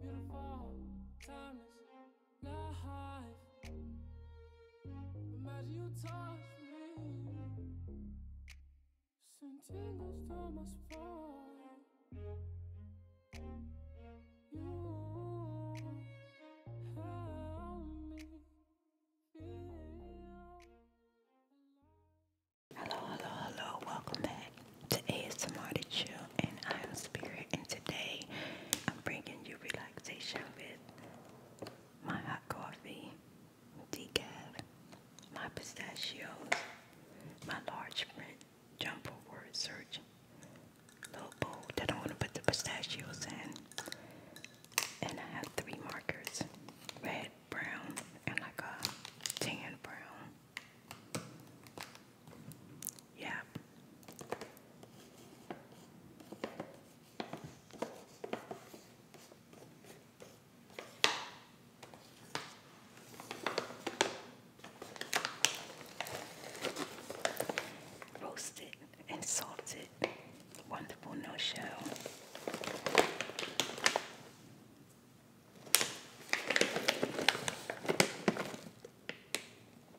Beautiful, timeless, life. Imagine you Hello, hello, hello. Welcome back to ASMR to and I am Spirit, and today I'm bringing you relaxation with my hot coffee, decaf, my pistachios, my large print jumbo word search, little bowl that I want to put the pistachios in, and I have three markers red, brown, and like a tan brown. Yeah. Roasted and salted, wonderful no shell.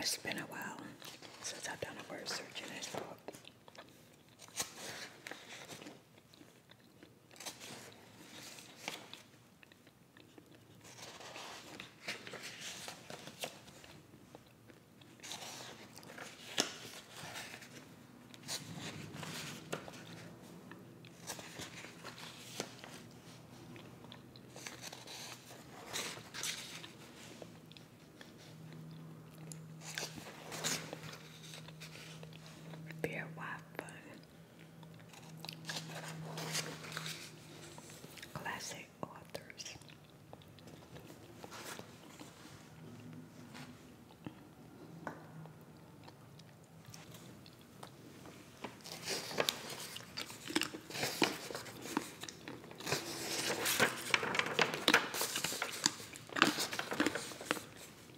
It's been a while since I've done a word search in this book. Beer waffle. Classic authors.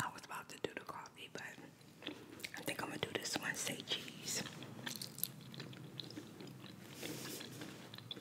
I was about to do the coffee, but I think I'm gonna do this one. Say cheese.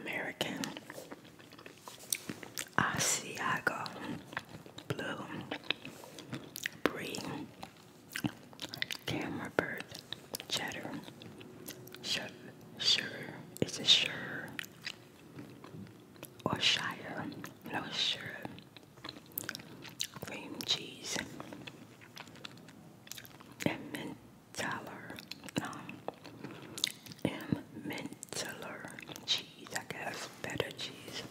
American Asiago Blue Bree Camera Bird Cheddar Sure is it a sure or shire cream cheese and Tyler, um, M. Mintler cheese, I guess, better cheese,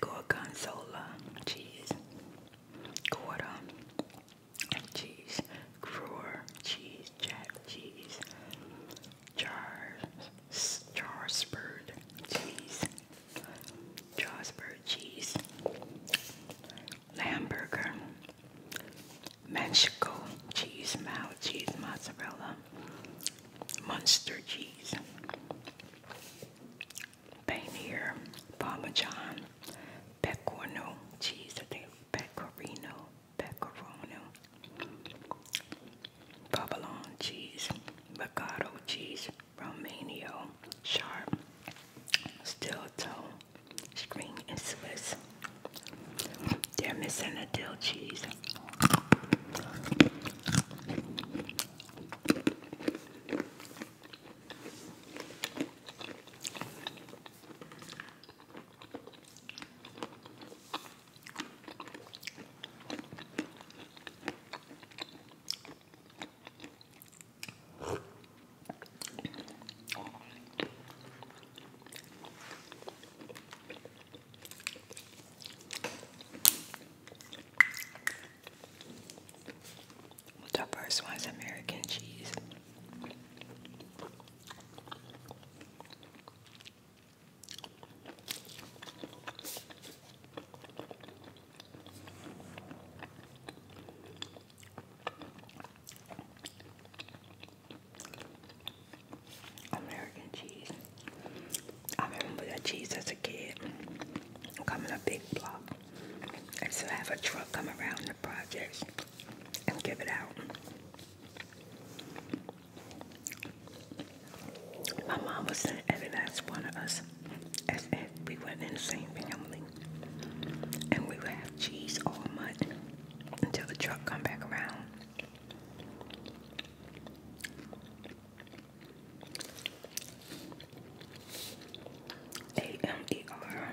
Gorgonzola cheese, Gorda cheese, Gruer cheese, Jack cheese, Jars, Jarsburg cheese, Jarsburg cheese, hamburger, Mexico cheese, mild cheese, mozzarella, Munster cheese, paneer, parmesan, pecorino cheese, I think pecorino, pecorino, provolone cheese, ricotta cheese, Romano, sharp, steel toe, String and Swiss. They're missing a dill cheese. What's The first one's American cheese. American cheese. I remember that cheese as a kid coming a big block. And so have a truck come around the projects and give it out. My mom was in every last one of us as if we were in the same family and we would have cheese all night until the truck come back around. A M E R.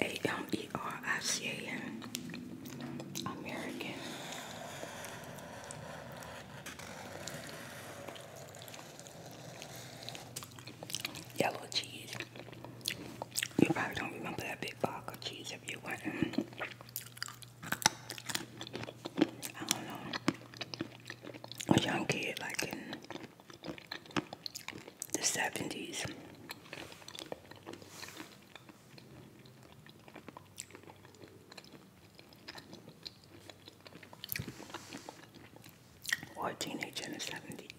A-M-E-R-I-C-A-N. American. Yellow cheese. You probably don't remember that big block of cheese if you were not A young kid like in the 70s. Or a teenager in the 70s.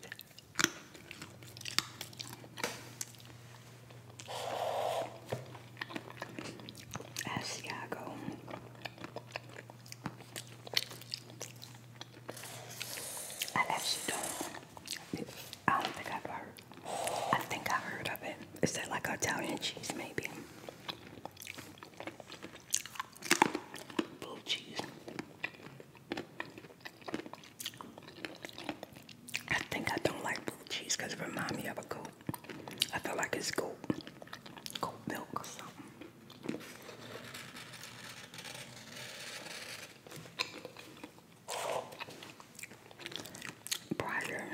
Asiago. I actually don't. I don't think I've ever I think I heard of it. Is that like Italian cheese, maybe? Blue cheese. I think I don't like blue cheese because it reminds me of a goat. I feel like it's goat, goat milk or something. Brier,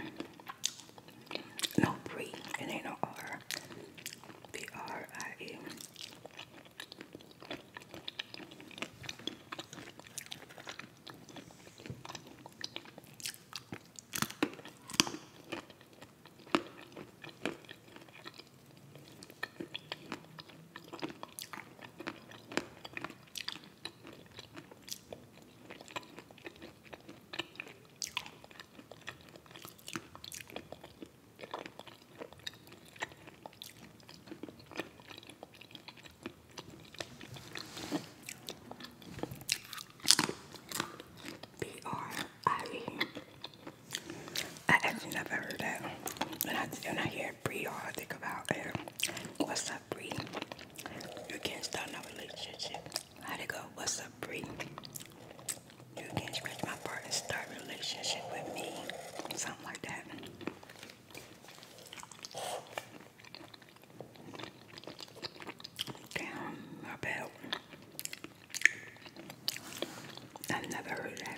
No Brie. It ain't no R. B R I E. B-R-I-E. I actually never heard that. When I, when I hear Briar, I think about it. Um, what's up, up, Bree? You can't start no relationship. How'd it go? What's up, Bree? You can't scratch my part and start a relationship with me. Something like that. Damn, my belt. I've never heard that.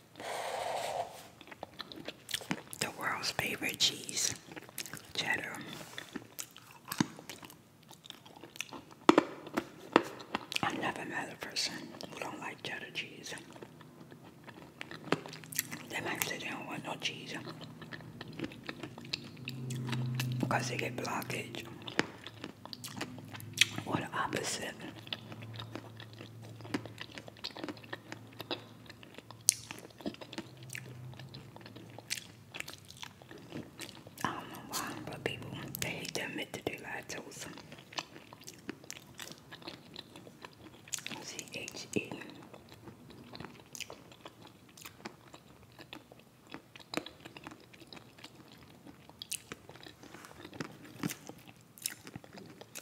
The world's favorite cheese, cheddar. I've never met a person who don't like cheddar cheese. They might sit down with not no cheese because they get blockage or the opposite. I don't know why, but people they hate to admit that they to us. C H E.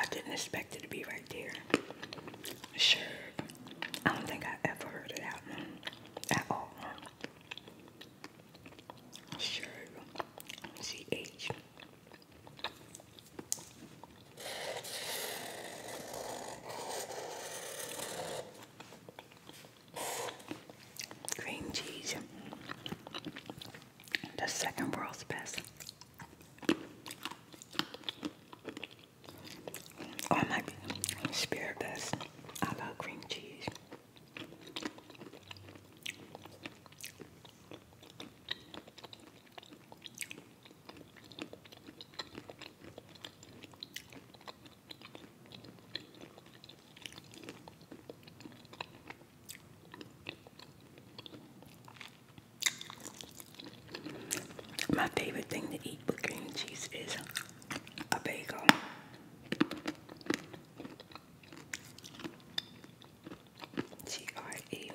I didn't expect it to be right. Sure. I don't think I ever heard of that at all. Sure. C H. Cream cheese. The second world's best. Or oh, it might Best. I love cream cheese. My favorite thing to eat with cream cheese is a bagel. G R E. M.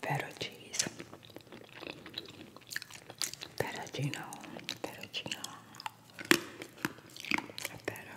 Feta cheese, fettuccino, fettuccino, feta,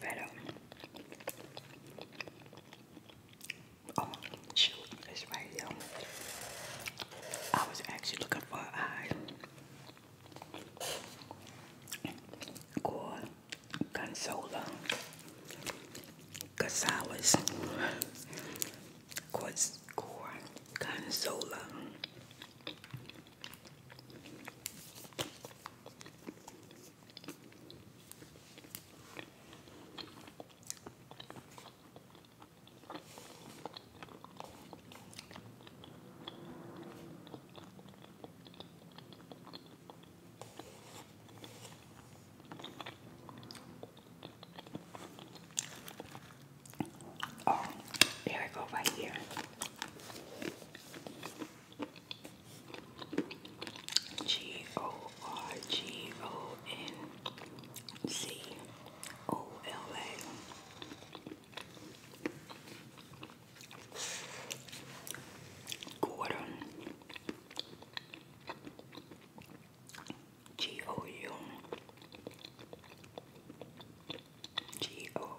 Feta. Oh, shoot, it's right here. I was actually looking for an eye. Called Consola Gonzalez. Called Oh, there we go right here. G O R G O N Z O L A Gordon G O U G O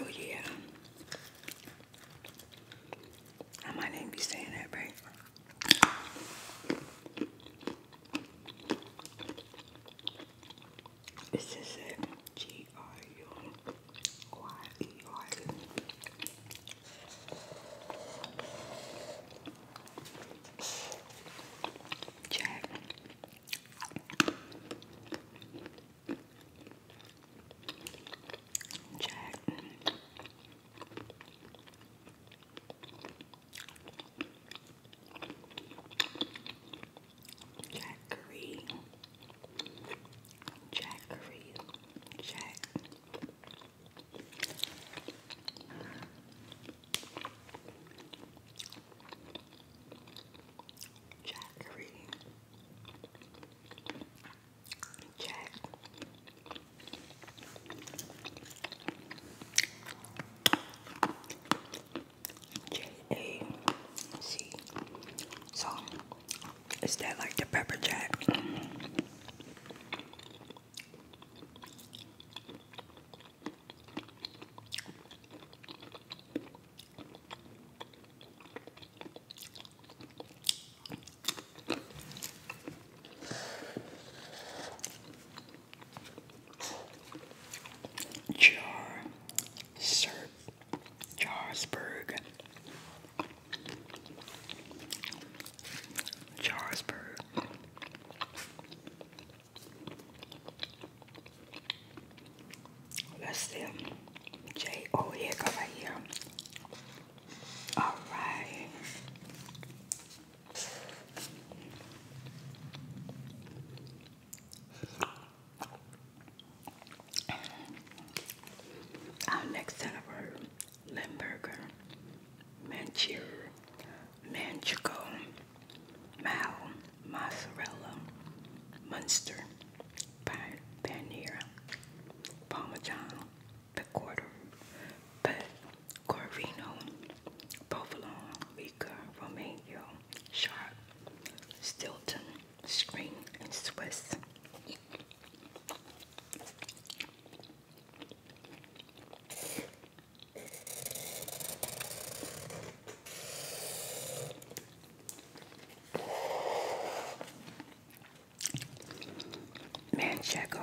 Oh yeah. I might even be saying that right. This is it. G R U Y E R U. Jackery, Jackery, Jack. Jackery, Jack. J A C. So, is that like the pepper jack? Jar Serp Jarsburg Jarsburg That's them. J oh here, go right here. All right. Our next celebrate Limburger, Manchur, Manchego, Mao, Mozzarella, Munster, Paneer, Parmesan, Pecorino, Pecorino, Provolone, Rica, Romagno, Sharp, Stilton, Spring, and Swiss. Manchego.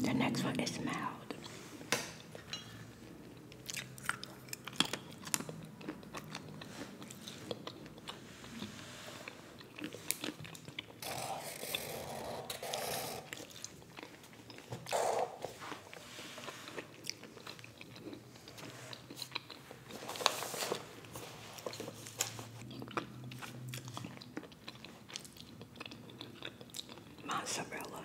The next one is mild. Mozzarella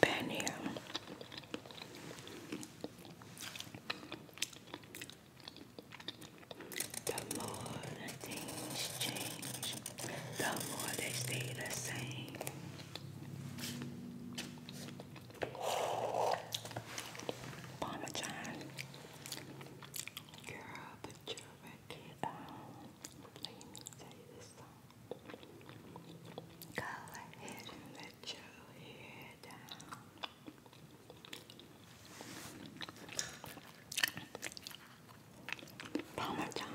Penny. The more things change, the more they stay the same. Parmesan. Girl, put your record on. Let me tell you this song. Go ahead and let your hair down. Parmesan.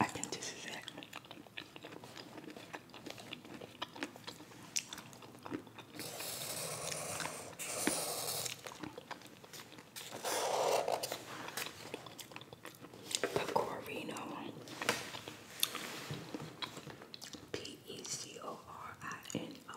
I think this it. Pecorino. P E C O R I N O.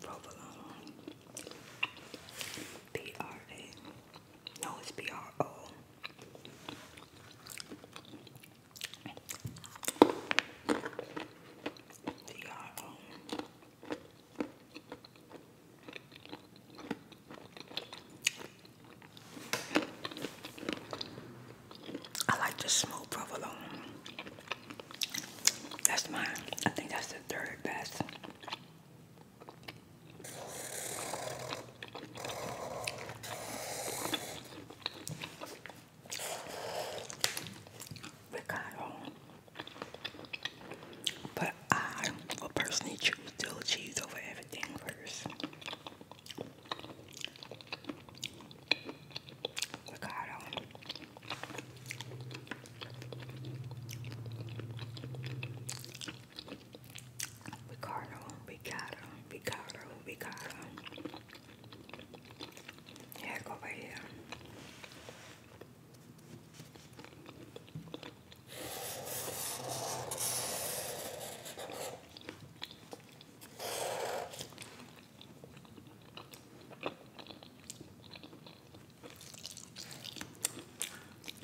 Provolone. B R A. No, it's B R O. B R O. I like the smooth provolone. That's my. I think that's the third best. Ricardo. I will personally choose dill cheese over everything first. Ricardo. Ricardo, Ricardo, Ricardo, Yeah, go right here.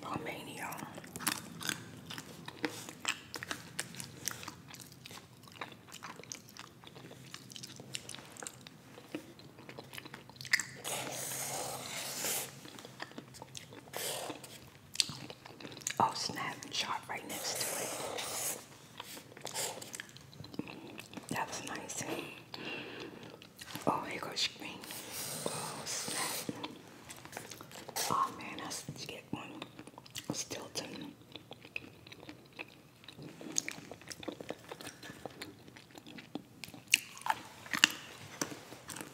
Romania. Oh snap, sharp right next to it. That was nice. Oh, here goes green. Oh snap. Oh man, I should get one. Stilton.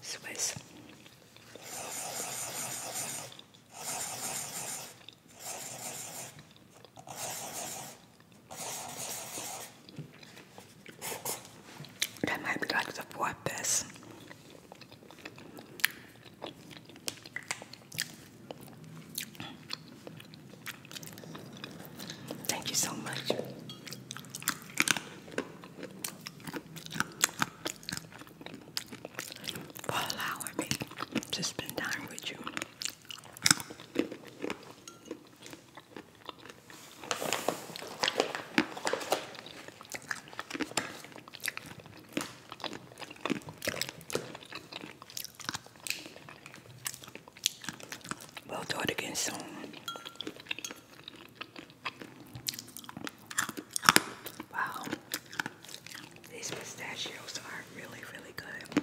Swiss. That might be like the fourth best. Thank you so much. For allowing me to spend time with you. We'll do it again soon. Wow. These pistachios are really, really good.